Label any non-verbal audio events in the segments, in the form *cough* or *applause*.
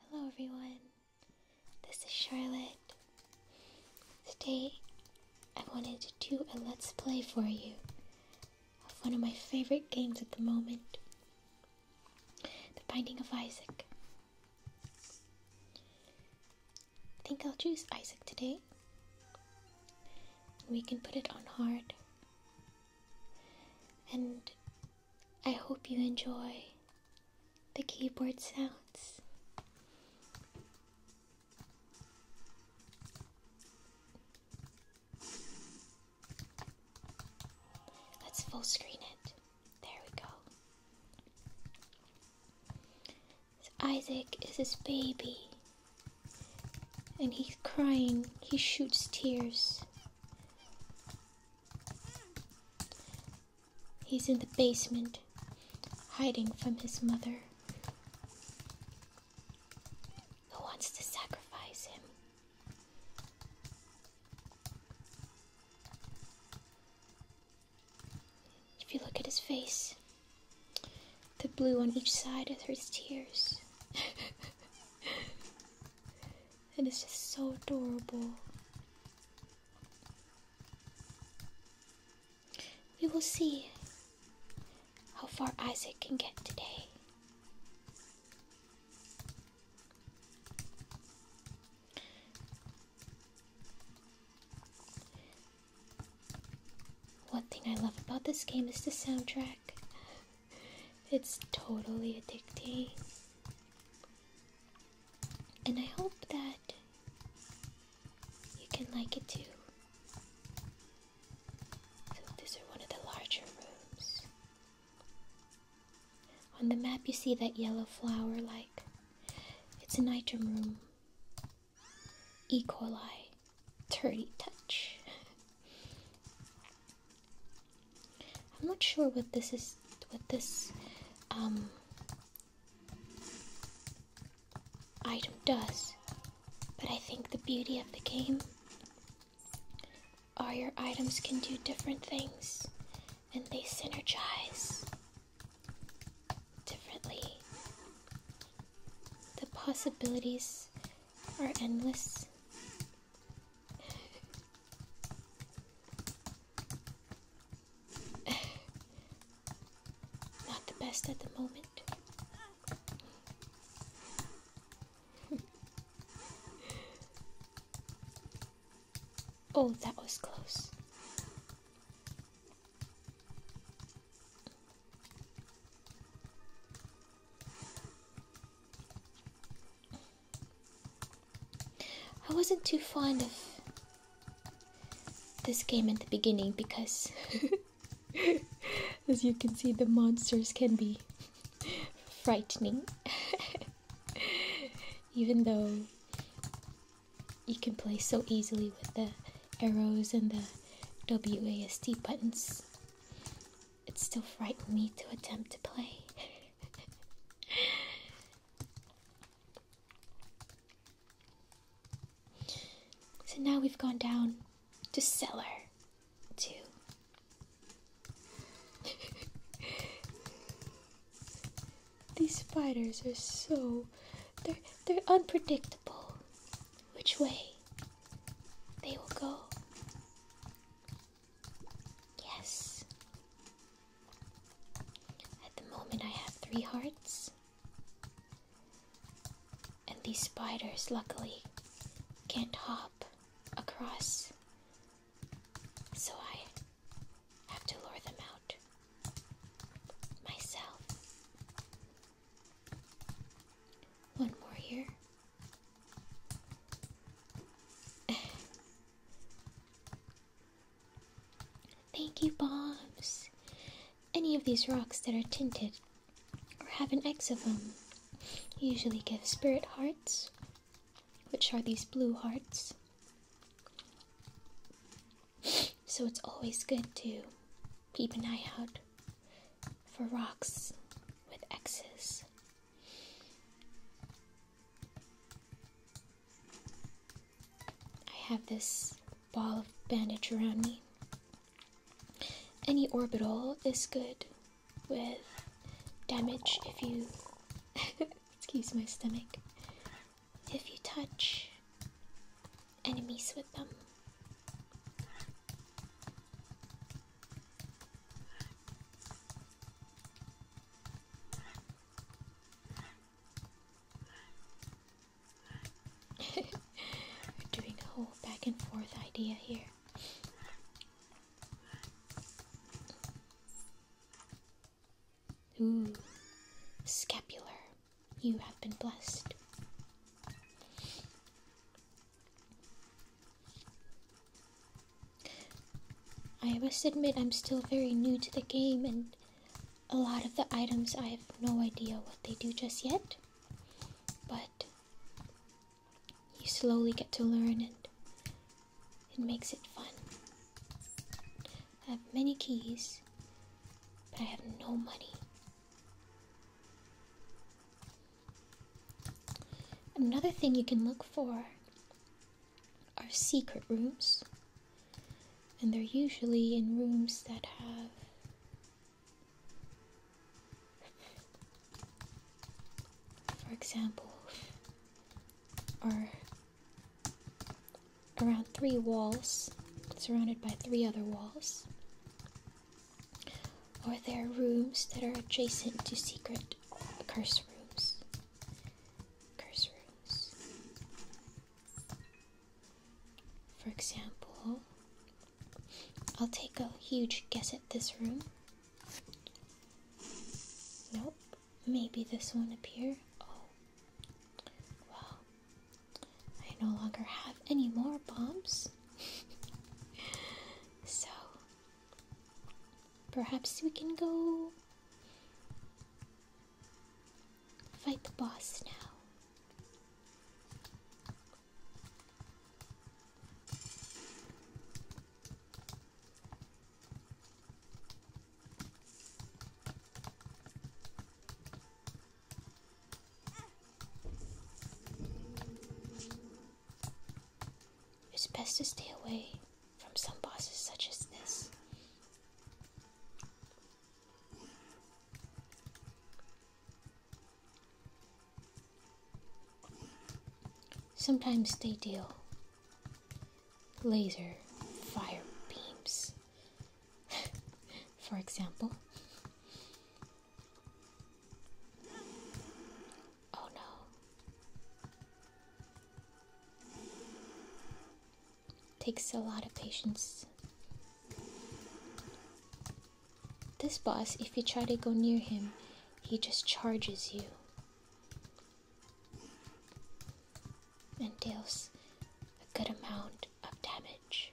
Hello, everyone. This is Charlotte. Today, I wanted to do a let's play for you of one of my favorite games at the moment The Binding of Isaac. I think I'll choose Isaac today. We can put it on hard. And I hope you enjoy the keyboard sounds. Let's full screen it. There we go. Isaac is his baby, and he's crying. He shoots tears He's in the basement, hiding from his mother, who wants to sacrifice him. If you look at his face, the blue on each side are his tears. *laughs* It is just so adorable. We will see how far Isaac can get today. One thing I love about this game is the soundtrack. It's totally addicting. And I hope that you can like it too. So, these are one of the larger rooms. On the map, you see that yellow flower like it's an item room. E. coli, dirty touch. *laughs* I'm not sure what this is what this um, item does, but I think the beauty of the game are your items can do different things and they synergize differently. The possibilities are endless. Not the best at the moment. oh, that was close. I wasn't too fond of this game at the beginning because, *laughs* as you can see, the monsters can be frightening, *laughs* even though you can play so easily with the arrows and the WASD buttons it still frightened me to attempt to play. *laughs* so now we've gone down to cellar two. *laughs* These spiders are so they're they're unpredictable which way they will go. Yes. At the moment, I have three hearts. And these spiders, luckily, can't hop across. So I have to lure them out myself. One more here. Thank you, bombs. Any of these rocks that are tinted or have an X of them usually give spirit hearts, which are these blue hearts. So it's always good to keep an eye out for rocks with X's I have this ball of bandage around me. Any orbital is good with damage if you. *laughs* excuse my stomach. If you touch enemies with them. We're doing a whole back and forth idea here. Ooh, scapular, you have been blessed. I must admit, I'm still very new to the game, and a lot of the items I have no idea what they do just yet. But you slowly get to learn, and it makes it fun. I have many keys, but I have no money. Another thing you can look for are secret rooms, and they're usually in rooms that have for example, are around three walls, surrounded by three other walls or there are rooms that are adjacent to secret curse rooms. Curse rooms. For example, I'll take a huge guess at this room. Nope. Maybe this one up here. Oh. Well, I no longer have any more bombs. *laughs* so, Perhaps we can go fight the boss now. It's best to stay away from some bosses such as this. Sometimes they deal laser fire beams, *laughs* for example. Oh no. Takes a lot of patience. This boss, if you try to go near him, he just charges you. And deals a good amount of damage.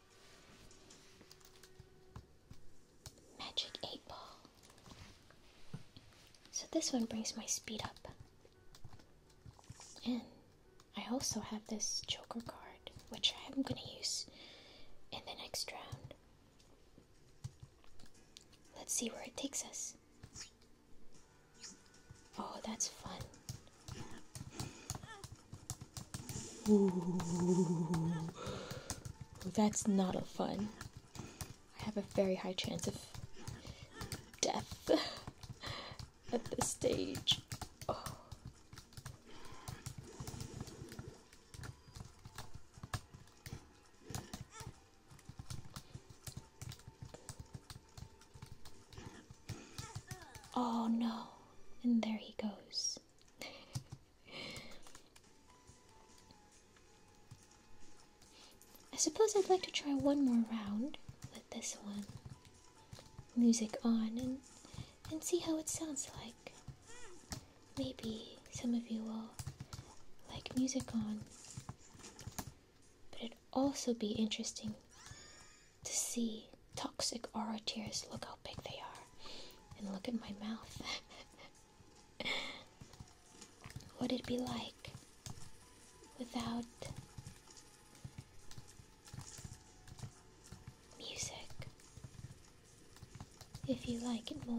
Magic 8 Ball. So this one brings my speed up. And I also have this Joker card, which I am going to use in the next round. Let's see where it takes us. Oh, that's fun that's not a fun. I have a very high chance of death *laughs* at this stage. oh no, and there he goes. I suppose I'd like to try one more round with this one. Music on and and see how it sounds like. Maybe some of you will like music on. But it'd also be interesting to see toxic aura tears. Look how big they are. And look at my mouth. *laughs* What'd it be like without music? If you like it more.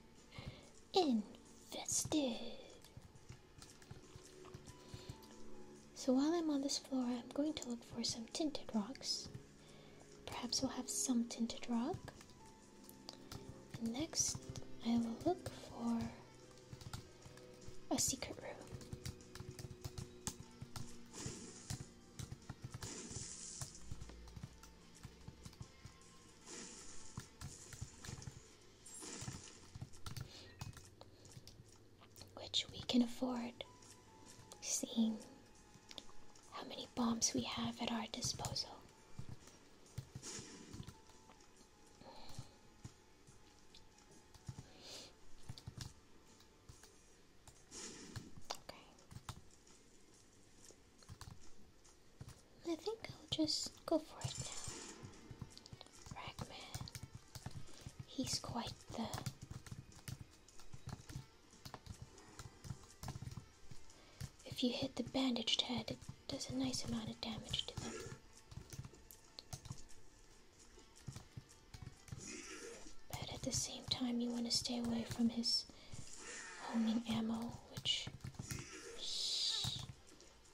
Invested. So while I'm on this floor, I'm going to look for some tinted rocks. Perhaps we'll have some tinted rock. next, I will look for a secret room which we can afford, seeing how many bombs we have at our disposal. Okay. I think I'll just go for it now. Ragman. He's quite the If you hit the bandaged head, it does a nice amount of damage to them. But at the same time, you want to stay away from his homing ammo which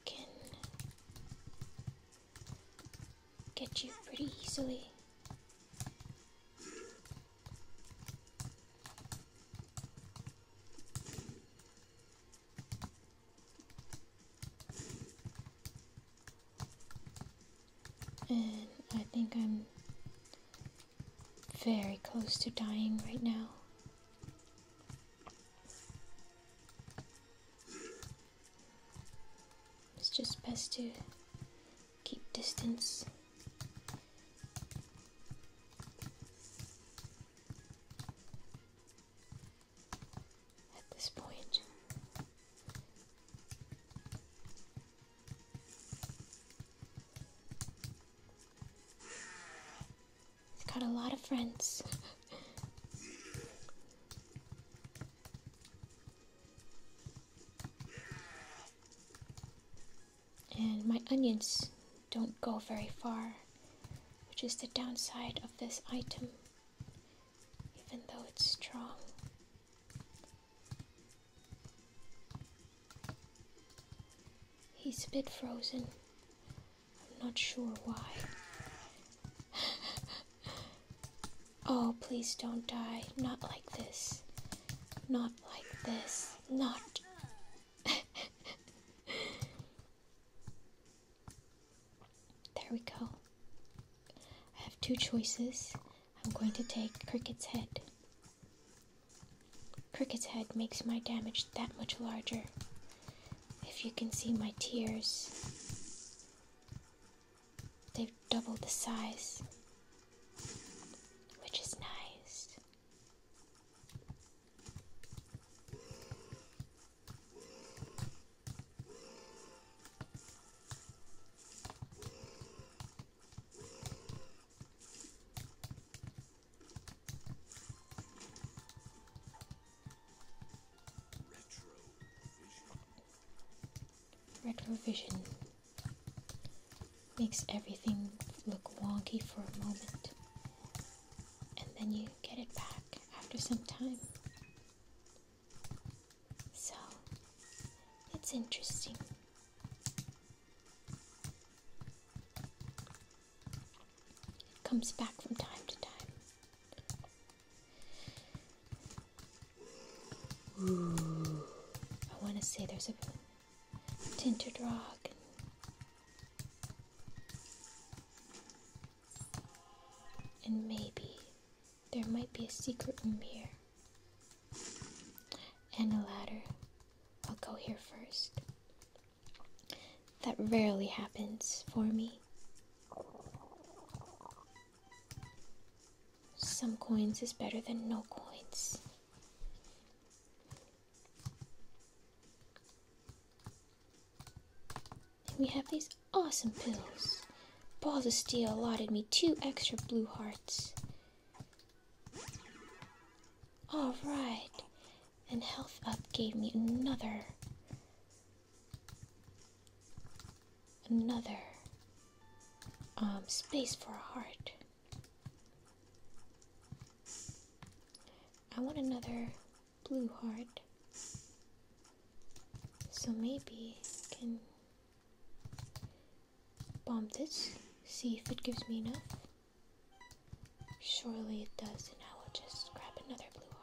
can get you pretty easily. And I think I'm very close to dying right now. It's just best to keep distance. At this point. He's got a lot of friends. and my onions don't go very far, which is the downside of this item, even though it's strong. He's a bit frozen. I'm not sure why. oh, please don't die. Not like this. Not like this. Not. there we go. I have two choices. I'm going to take Cricket's head. Cricket's head makes my damage that much larger. If you can see my tears, they've doubled the size, which is nice. Retrovision makes everything look wonky for a moment, and then you get it back after some time. So, it's interesting. It comes back from time to time. I want to say there's a tinted rock. and maybe there might be a secret room here. And a ladder. I'll go here first. That rarely happens for me. Some coins is better than no coins. we have these awesome pills. Balls of Steel allotted me two extra blue hearts. Alright, and Health Up gave me another. Another um, space for a heart. I want another blue heart. So maybe I can bomb this, see if it gives me enough. Surely it does, and I will just grab another blue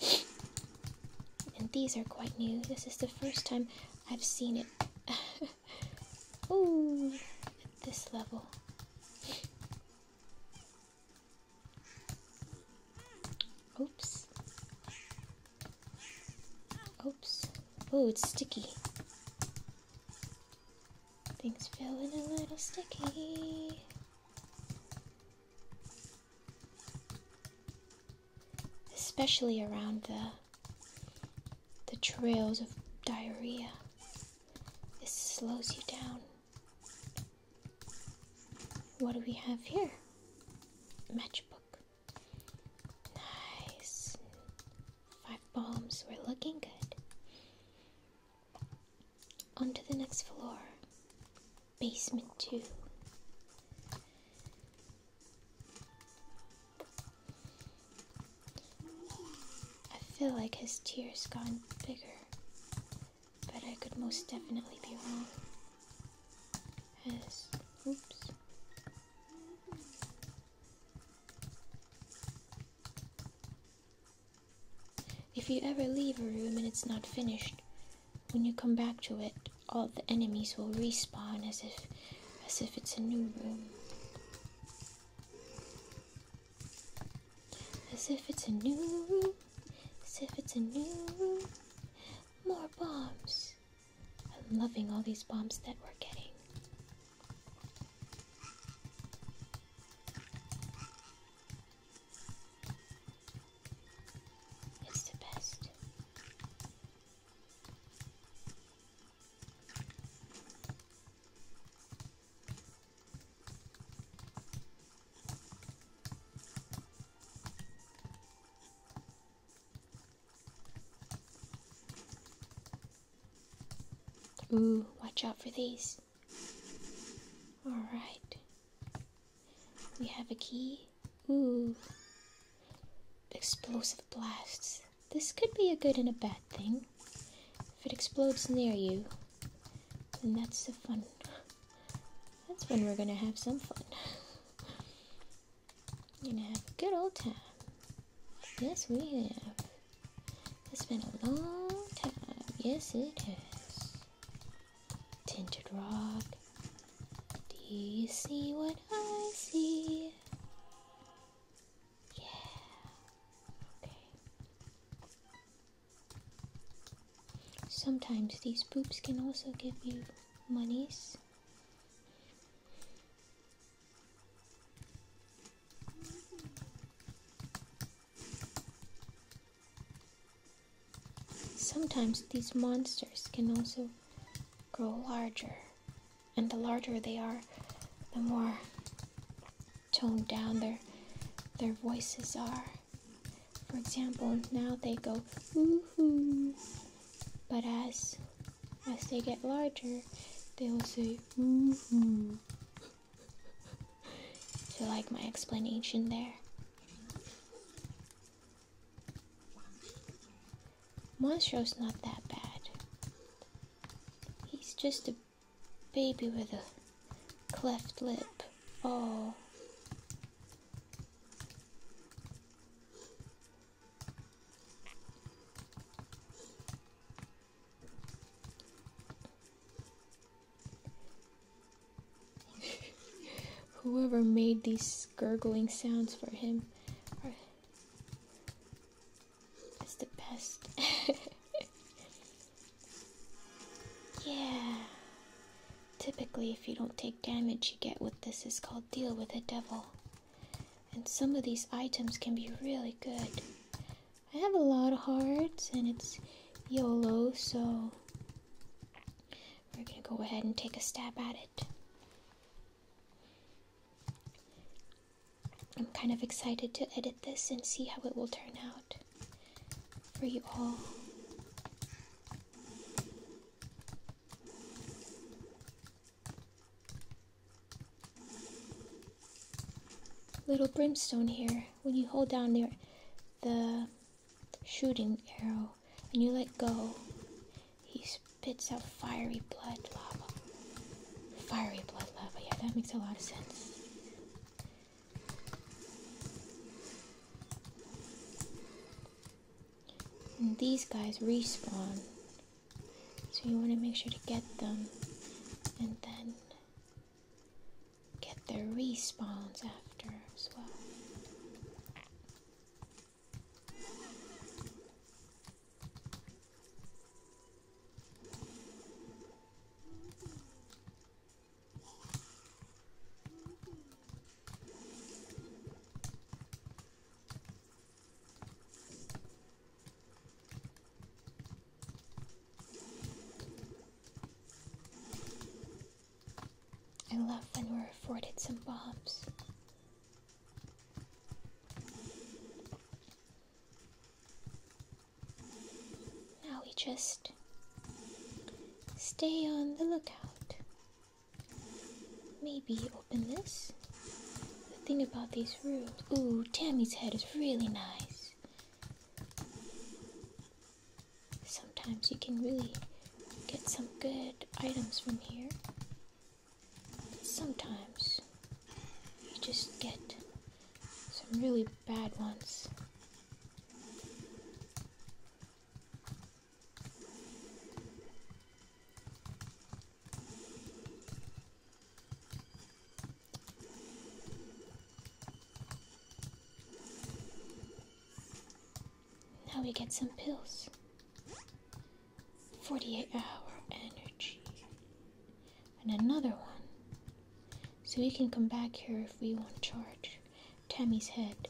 heart. And these are quite new. This is the first time I've seen it. *laughs* Ooh, at this level. Oops. Oops. Oh, it's sticky. Things feeling a little sticky. Especially around the the trails of diarrhea. This slows you down. What do we have here? Matchbook. Nice. Five bombs. We're looking good. On to the next floor. Basement 2. I feel like his tears gotten bigger, but I could most definitely be wrong. His, oops, if you ever leave a room and it's not finished, when you come back to it, all the enemies will respawn as if as if it's a new room. As if it's a new room. As if it's a new room. More bombs. I'm loving all these bombs that we're getting. It's the best. Ooh, watch out for these. Alright. We have a key. Ooh. Explosive blasts. This could be a good and a bad thing. If it explodes near you, then that's the fun. That's when we're gonna have some fun we gonna have a good old time. Yes, we have. It's been a long time. Yes, it has. Tinted rock. Do you see what I see? Yeah. Okay. Sometimes these poops can also give you monies. Sometimes these monsters can also grow larger, and the larger they are, the more toned down their their voices are. For example, now they go woohoo, but as as they get larger, they will say, mm-hmm. Do you like my explanation there? Monstro's not that bad. He's just a baby with a cleft lip. Oh. *laughs* Whoever made these gurgling sounds for him is the best. *laughs* yeah. Typically, if you don't take damage, you get what this is called deal with a devil and some of these items can be really good. I have a lot of hearts and it's YOLO, so we're gonna go ahead and take a stab at it. I'm kind of excited to edit this and see how it will turn out for you all. Little brimstone here. When you hold down there, the shooting arrow and you let go, he spits out fiery blood lava. Fiery blood lava. Yeah, that makes a lot of sense. And these guys respawn. So you want to make sure to get them and then get their respawns after as well. I love when we're afforded some bombs. Now we just stay on the lookout Maybe open this. The thing about these rooms. Ooh, Tammy's head is really nice. Sometimes you can really get some good items from here. sometimes you just get some really bad ones. Now we get some pills. 48 hour energy. And another one. So we can come back here if we want to charge Tammy's head.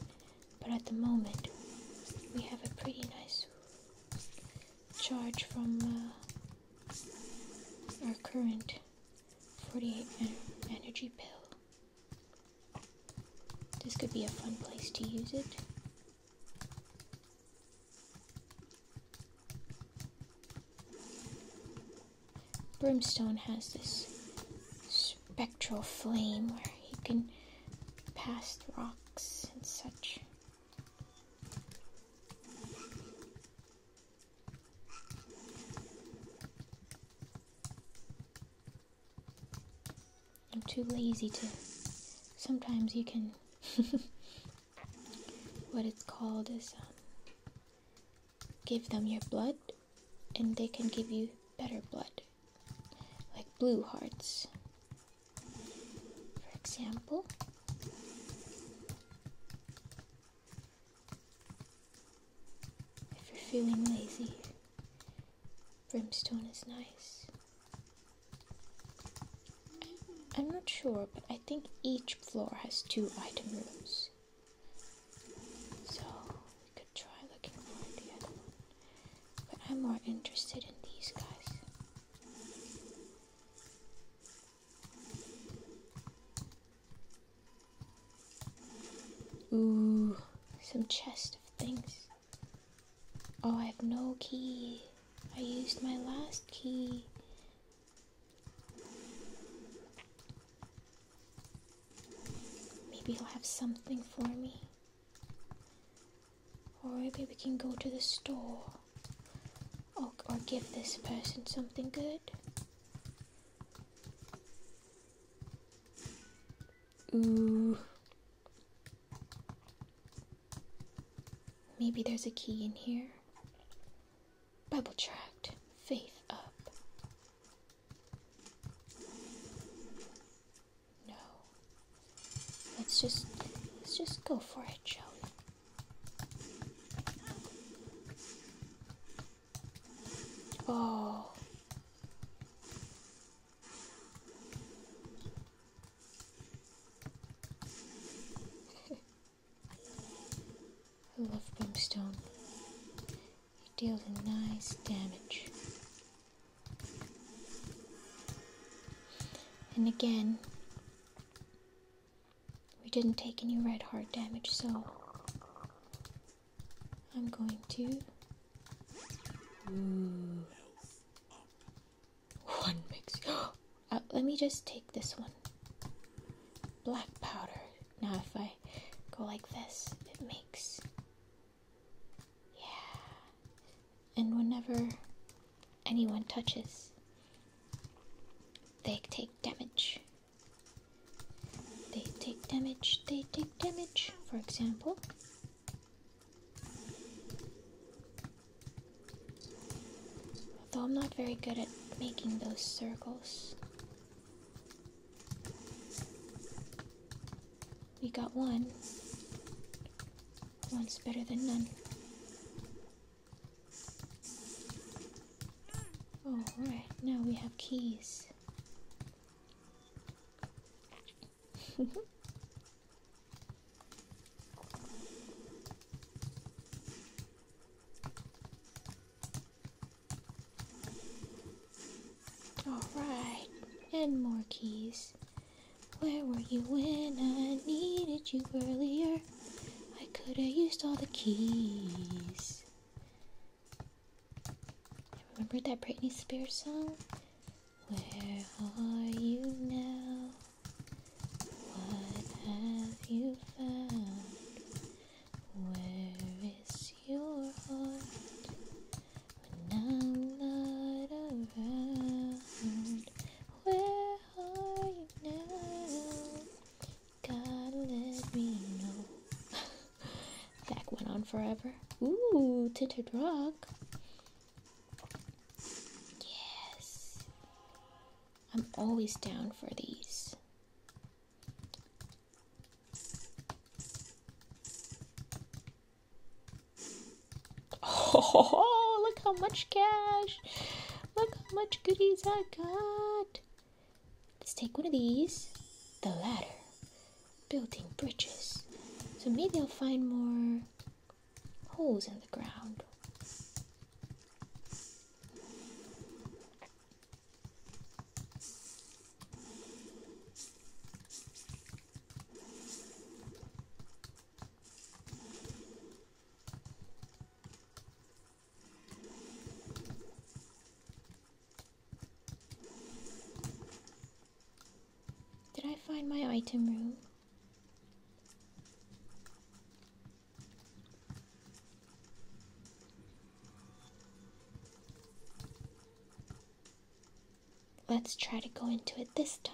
But at the moment, we have a pretty nice charge from uh, our current 48 energy pill. This could be a fun place to use it. Brimstone has this spectral flame where he can pass rocks and such. I'm too lazy to. Sometimes you can. *laughs* what it's called is um, give them your blood, and they can give you better blood like blue hearts, for example. If you're feeling lazy, brimstone is nice. I'm not sure, but I think each floor has two item rooms. So we could try looking for the other one. But I'm more interested in these guys. Ooh, some chest of things. Oh, I have no key. I used my last key. Maybe he'll have something for me. Or maybe we can go to the store. Or, give this person something good. Ooh. Maybe there's a key in here. Bible tract. Faith up. No. Let's just let's just go for it, shall we? Oh. *laughs* I love brimstone. It deals a nice damage. And again, we didn't take any red heart damage, so I'm going to. One mix. *gasps* Uh, let me just take this one. Black powder. Now, if I go like this, it makes yeah. And whenever anyone touches, they take damage. They take damage, they take damage, for example. although I'm not very good at making those circles. We got one. One's better than none. Alright, now we have keys. *laughs* Alright, and more keys. Where were you when I needed you earlier? I could have used all the keys. Remember that Britney Spears song? Where are you now? What have you found? Where is your heart? When I'm not around, where are you now? Gotta let me know. that went on forever. Ooh, tinted rock. Yes. I'm always down for these. Oh, look how much cash. Look how much goodies I got. Let's take one of these. The ladder. Building bridges. So maybe I'll find more holes in the ground. Did I find my item room? Let's try to go into it this time.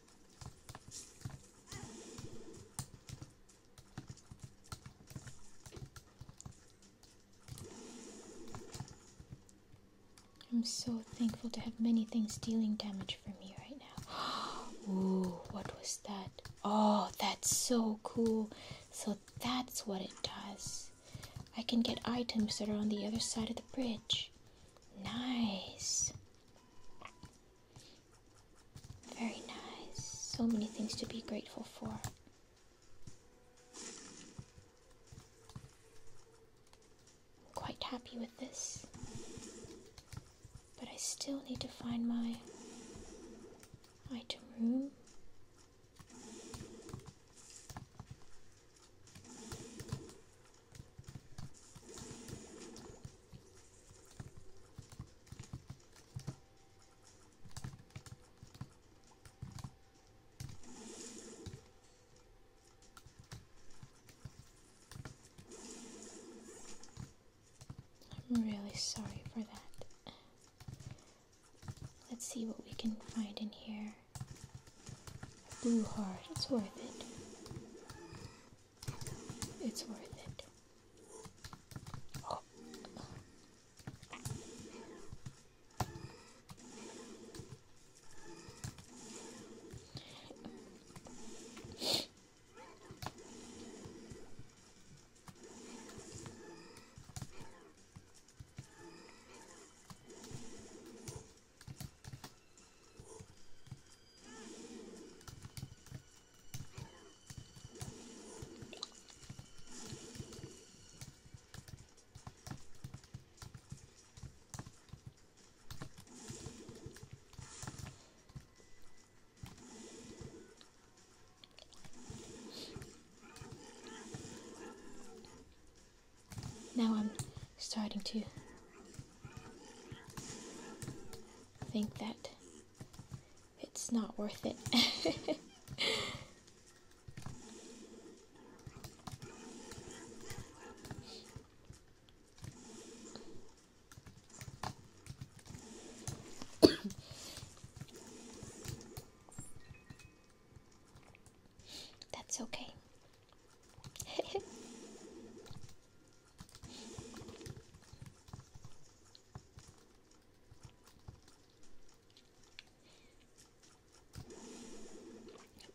I'm so thankful to have many things dealing damage for me right now. *gasps* Ooh, what was that? Oh, that's so cool. So that's what it does. I can get items that are on the other side of the bridge. Nice. Very nice. So many things to be grateful for. I'm quite happy with this. But I still need to find my item room. I'm really sorry for that. Let's see what we can find in here. Blue heart, it's worth it. It's worth it. Oh. Now I'm starting to think that it's not worth it. *laughs* That's okay. *laughs*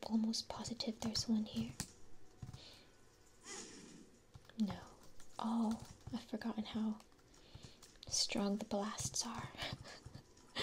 I'm almost positive there's one here. No. Oh, I've forgotten how strong the blasts are. *laughs*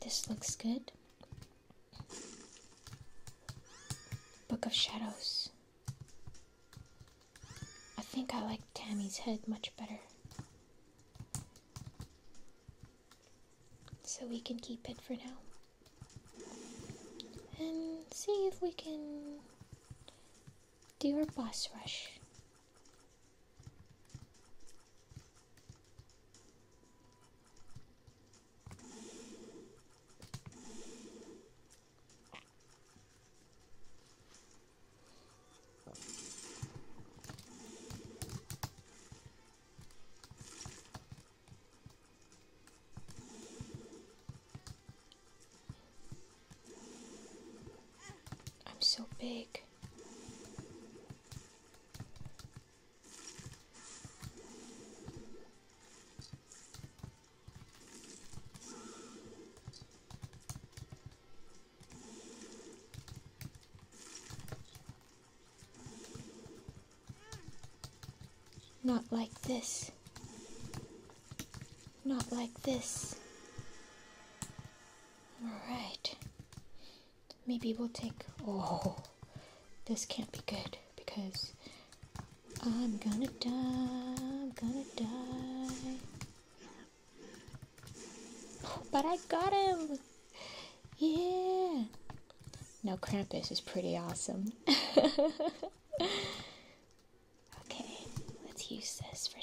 This looks good. Book of Shadows. I think I like Tammy's head much better. So we can keep it for now. And see if we can Dear boss rush. I'm so big. Not like this. Not like this. Alright. Maybe we'll take... Oh, this can't be good because I'm gonna die. I'm gonna die. Oh, but I got him! Yeah! Now Krampus is pretty awesome. *laughs* Okay, let's use this for now.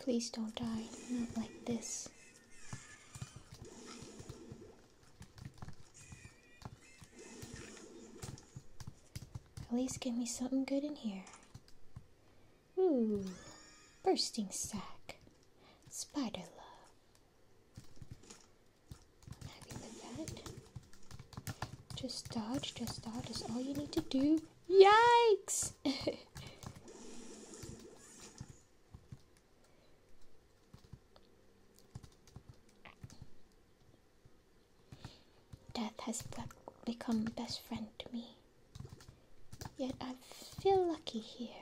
Please don't die, not like this. At least give me something good in here. Ooh, bursting sack, spider love. Just dodge, just dodge all you need to do. Yikes! *laughs* Death has become best friend to me. Yet I feel lucky here.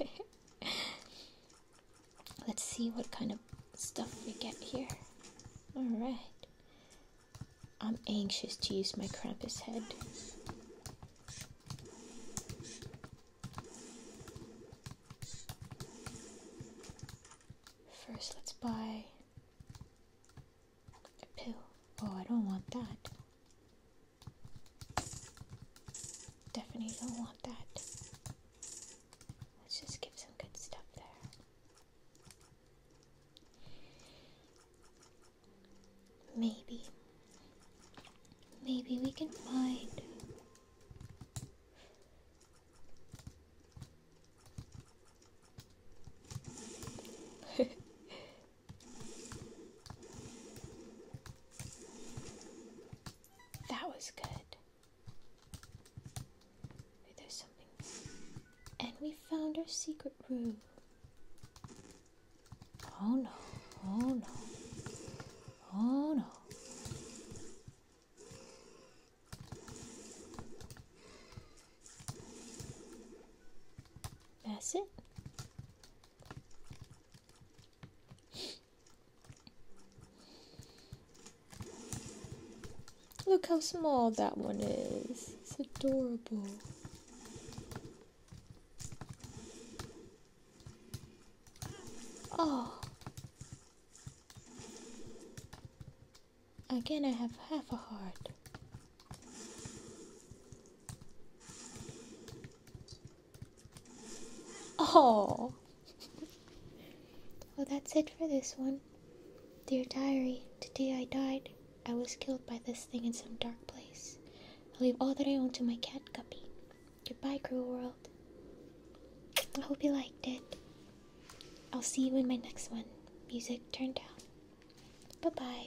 *laughs* Let's see what kind of stuff we get here. Alright. I'm anxious to use my Krampus head. First, let's buy a pill. Oh, I don't want that. Definitely don't want that. Let's just give some good stuff there. Maybe. Maybe we can find. *laughs* that was good. And we found our secret room. Oh no, oh no, oh no. That's it. Look how small that one is. It's adorable. Oh. Again, I have half a heart. Oh. Well, that's it for this one. Dear diary, today I died. I was killed by this thing in some dark place. I'll leave all that I own to my cat Guppy. Goodbye, cruel world. I hope you liked it. I'll see you in my next one. Music turned down. Bye bye.